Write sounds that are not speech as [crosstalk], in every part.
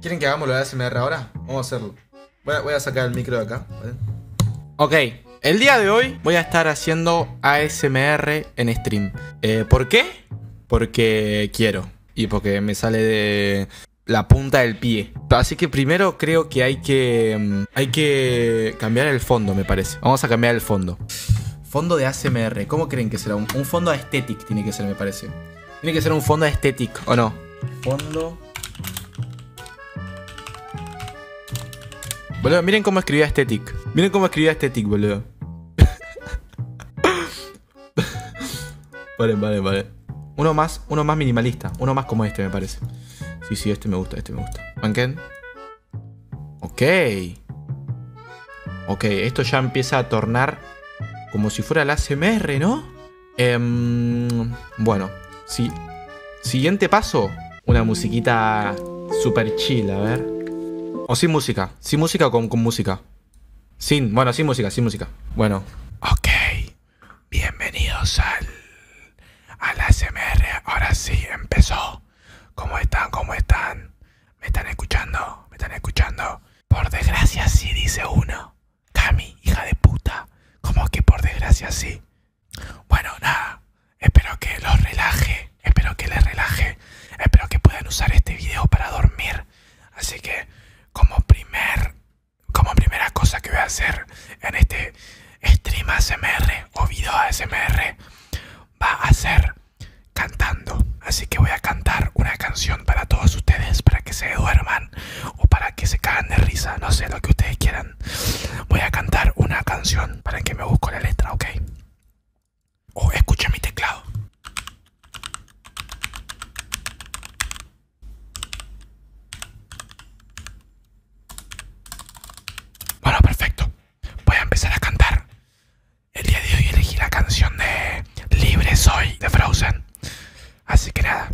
¿Quieren que hagamos de ASMR ahora? Vamos a hacerlo. Voy a, sacar el micro de acá. Ok, el día de hoy voy a estar haciendo ASMR en stream. Eh, ¿Por qué? Porque quiero. Y porque me sale de la punta del pie. Así que primero creo que hay que. Mm, hay que cambiar el fondo, me parece. Vamos a cambiar el fondo. Fondo de ASMR. ¿Cómo creen que será? un fondo aesthetic tiene que ser, me parece. Tiene que ser un fondo estético, ¿o no? Fondo. Boludo, miren cómo escribía Aesthetic. Miren cómo escribía Aesthetic, boludo. vale, vale, vale. Uno más, uno más minimalista. Uno más como este, me parece. Sí, sí, este me gusta, este me gusta. ¿Banken? Ok. Ok, esto ya empieza a tornar como si fuera la ASMR, ¿no? Em, bueno, sí. Siguiente paso, una musiquita super chill, a ver. O sin música, sin música con, con música. Sin, bueno, sin música, sin música. Bueno. Ok, bienvenidos al, al ASMR. Ahora sí, empezó. ¿Cómo están? ¿Cómo están? ¿Me están escuchando? ¿Me están escuchando? Por desgracia sí, dice uno. Cami, hija de puta. ¿Cómo que por desgracia sí? Bueno, nada. Espero que los relaje. Espero que les relaje. Espero que puedan usar este video para dormir. Así que, como primer... Como primera cosa que voy a hacer en este stream ASMR o video ASMR va a ser cantando. Así que voy a cantar una canción para todos ustedes, para que se duerman o para que se cagan de risa, no sé, lo que ustedes quieran. Voy a cantar una canción para que me busco la letra, ¿ok? O oh, mi teclado. Bueno, perfecto. Voy a empezar a cantar. El día de hoy elegí la canción de Libre Soy de Frozen. Así que nada.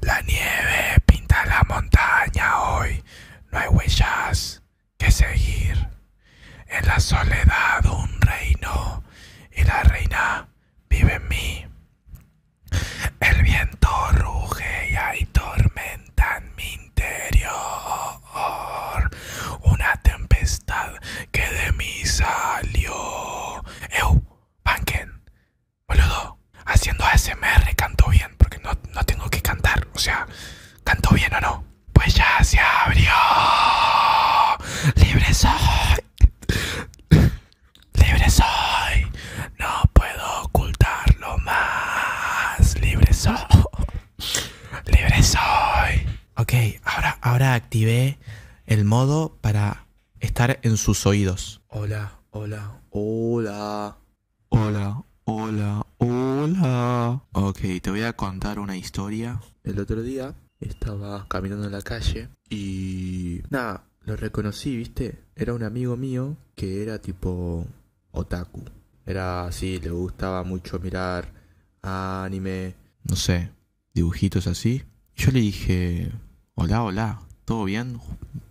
La nieve pinta la montaña hoy. No hay huellas que seguir. En la soledad un reino y la reina vive en mí. El viento ruge y hay tormenta en mi interior una tempestad que de mí salió. ¡Ew! Panken, boludo, haciendo ASMR canto bien, porque no, no tengo que cantar, o sea, canto bien o no. Pues ya se abrió. Libre soy. Libre soy. No puedo ocultarlo más. Libre soy. Libre soy. Ok, ahora, activé el modo para estar en sus oídos. Hola, hola, hola. Hola, hola, hola. Ok, te voy a contar una historia. El otro día estaba caminando en la calle y... Nada, lo reconocí, viste. Era un amigo mío que era tipo otaku. Era así, le gustaba mucho mirar anime, no sé, dibujitos así. Yo le dije, hola, hola, ¿todo bien,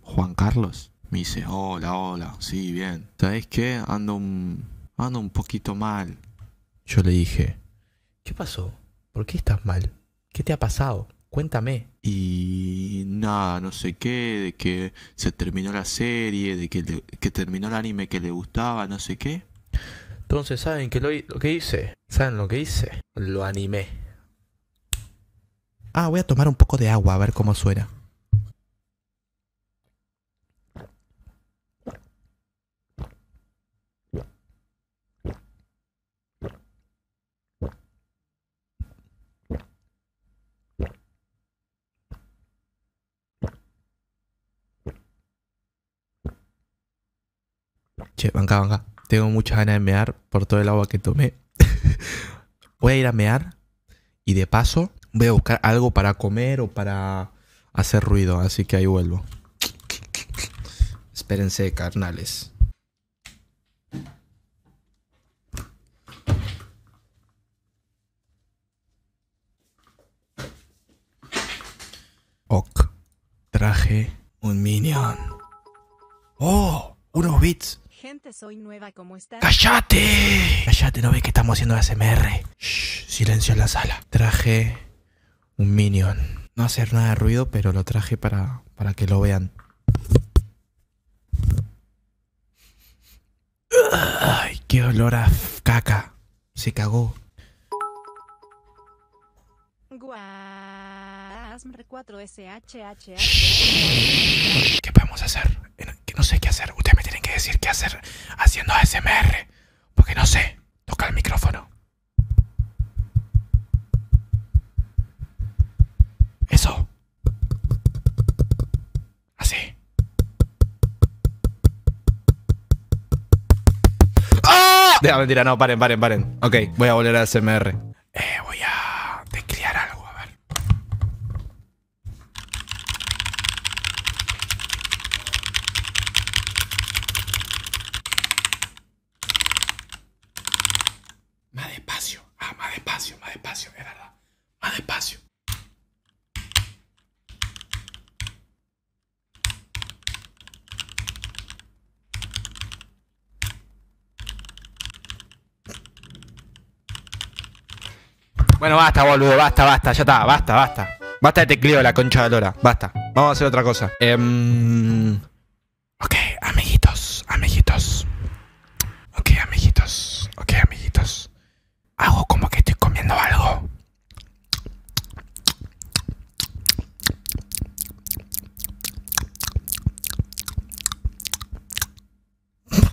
Juan Carlos? Me dice, hola, hola, sí, bien. ¿Sabes qué? Ando ando un poquito mal. Yo le dije, ¿qué pasó? ¿Por qué estás mal? ¿Qué te ha pasado? Cuéntame. Y nada, no sé qué, de que se terminó la serie, de que, terminó el anime que le gustaba, no sé qué. Entonces, ¿saben que lo, lo, que hice? ¿Saben lo que hice? Lo animé. Ah, voy a tomar un poco de agua a ver cómo suena. Che, banca, banca. Tengo mucha ganas de mear por todo el agua que tomé. [laughs] voy a ir a mear y de paso voy a buscar algo para comer o para hacer ruido. Así que ahí vuelvo. Espérense, carnales. Ok. Traje un minion. ¡Oh! Unos bits. Gente, soy ¡Cállate! ¡Cállate! ¿No ve que estamos haciendo ASMR? silencio en la sala. Traje un minion. No hacer nada de ruido, pero lo traje para que lo vean. Ay, qué olor a caca. Se cagó. ¿Qué podemos hacer? No sé qué hacer. Ustedes me tienen que decir qué hacer haciendo ASMR. Porque no sé. Toca el micrófono. Eso. Así. ¡Ah! Deja, mentira, no, paren, paren, paren. Ok, voy a volver a SMR. Eh, voy a Descriar algo, a ver. Más despacio. Ah, más despacio, más despacio, es verdad. Más despacio. Bueno, basta, boludo, basta, basta, ya está, basta, basta. Basta de tecleo la concha de lora, basta. Vamos a hacer otra cosa. Em, Ok, amiguitos, amiguitos. Ok, amiguitos, ok, amiguitos. Hago como que estoy comiendo algo.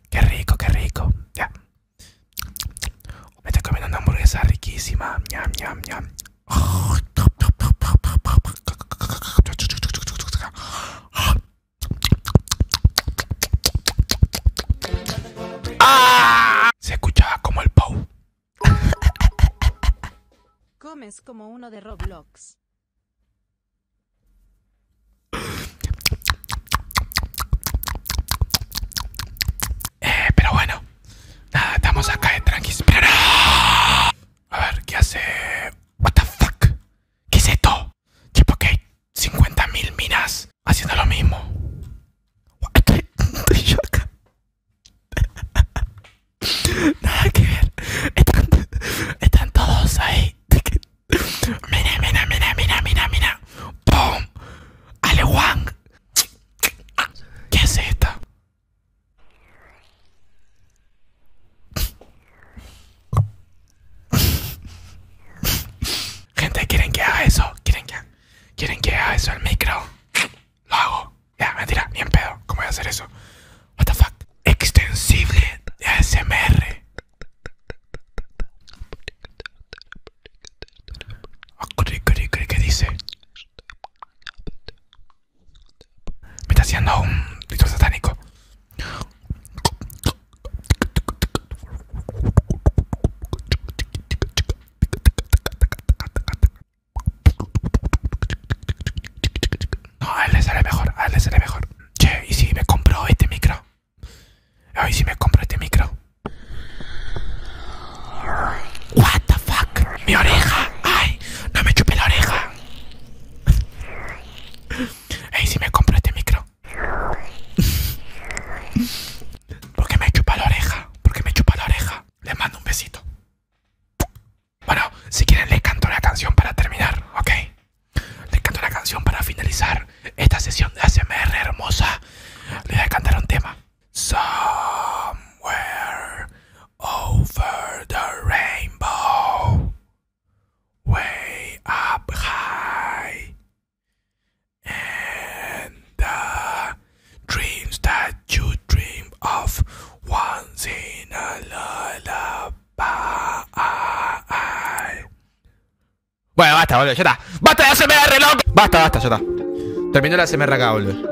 Qué rico, qué rico. Ya. Me estoy comiendo una hamburguesa riquísima. Ñam, ñam, ñam. Ah. Se escuchaba como el Pou. Comes como uno de Roblox. Eh, pero bueno. Nada, estamos acá de tranquis. A ver, ¿qué hace? What the fuck? ¿Qué es esto? Tipo que hay 50.000 minas haciendo lo mismo. Estoy yo acá. Nada que ver. Están, están todos ahí. Mira, mira, mira, mira, mira, mira. ¡Pum! Aleguan. ¿Qué es esta? Gente, ¿quieren que haga eso? ¿Quieren que, ¿quieren que haga eso el micro? Lo hago. Ya, mentira, ni en pedo. ¿Cómo voy a hacer eso? What the fuck? Extensible de ASMR. Oh, ¿Qué dice? Me está haciendo un grito satánico. No, a él le sale mejor, a él le sale mejor. Che, ¿y si me compro este micro? ¿Y si me compro este micro? What the fuck? Mi oreja. Ay, no me chupé la oreja. Ey, si me compro este micro. Porque me chupa la oreja. Porque me chupa la oreja. Les mando un besito. Bueno, si quieren les canto la canción para terminar, ¿ok? Les canto la canción para finalizar esta sesión de ASMR hermosa. Les voy a cantar un tema. Somewhere over the rainbow, way up high, and the dreams that you dream of once in a lullaby. Bueno, basta, boludo, ya está. ¡Basta de hacerme el reloj! Basta, basta, ya está. Terminó la SMR acá, boludo.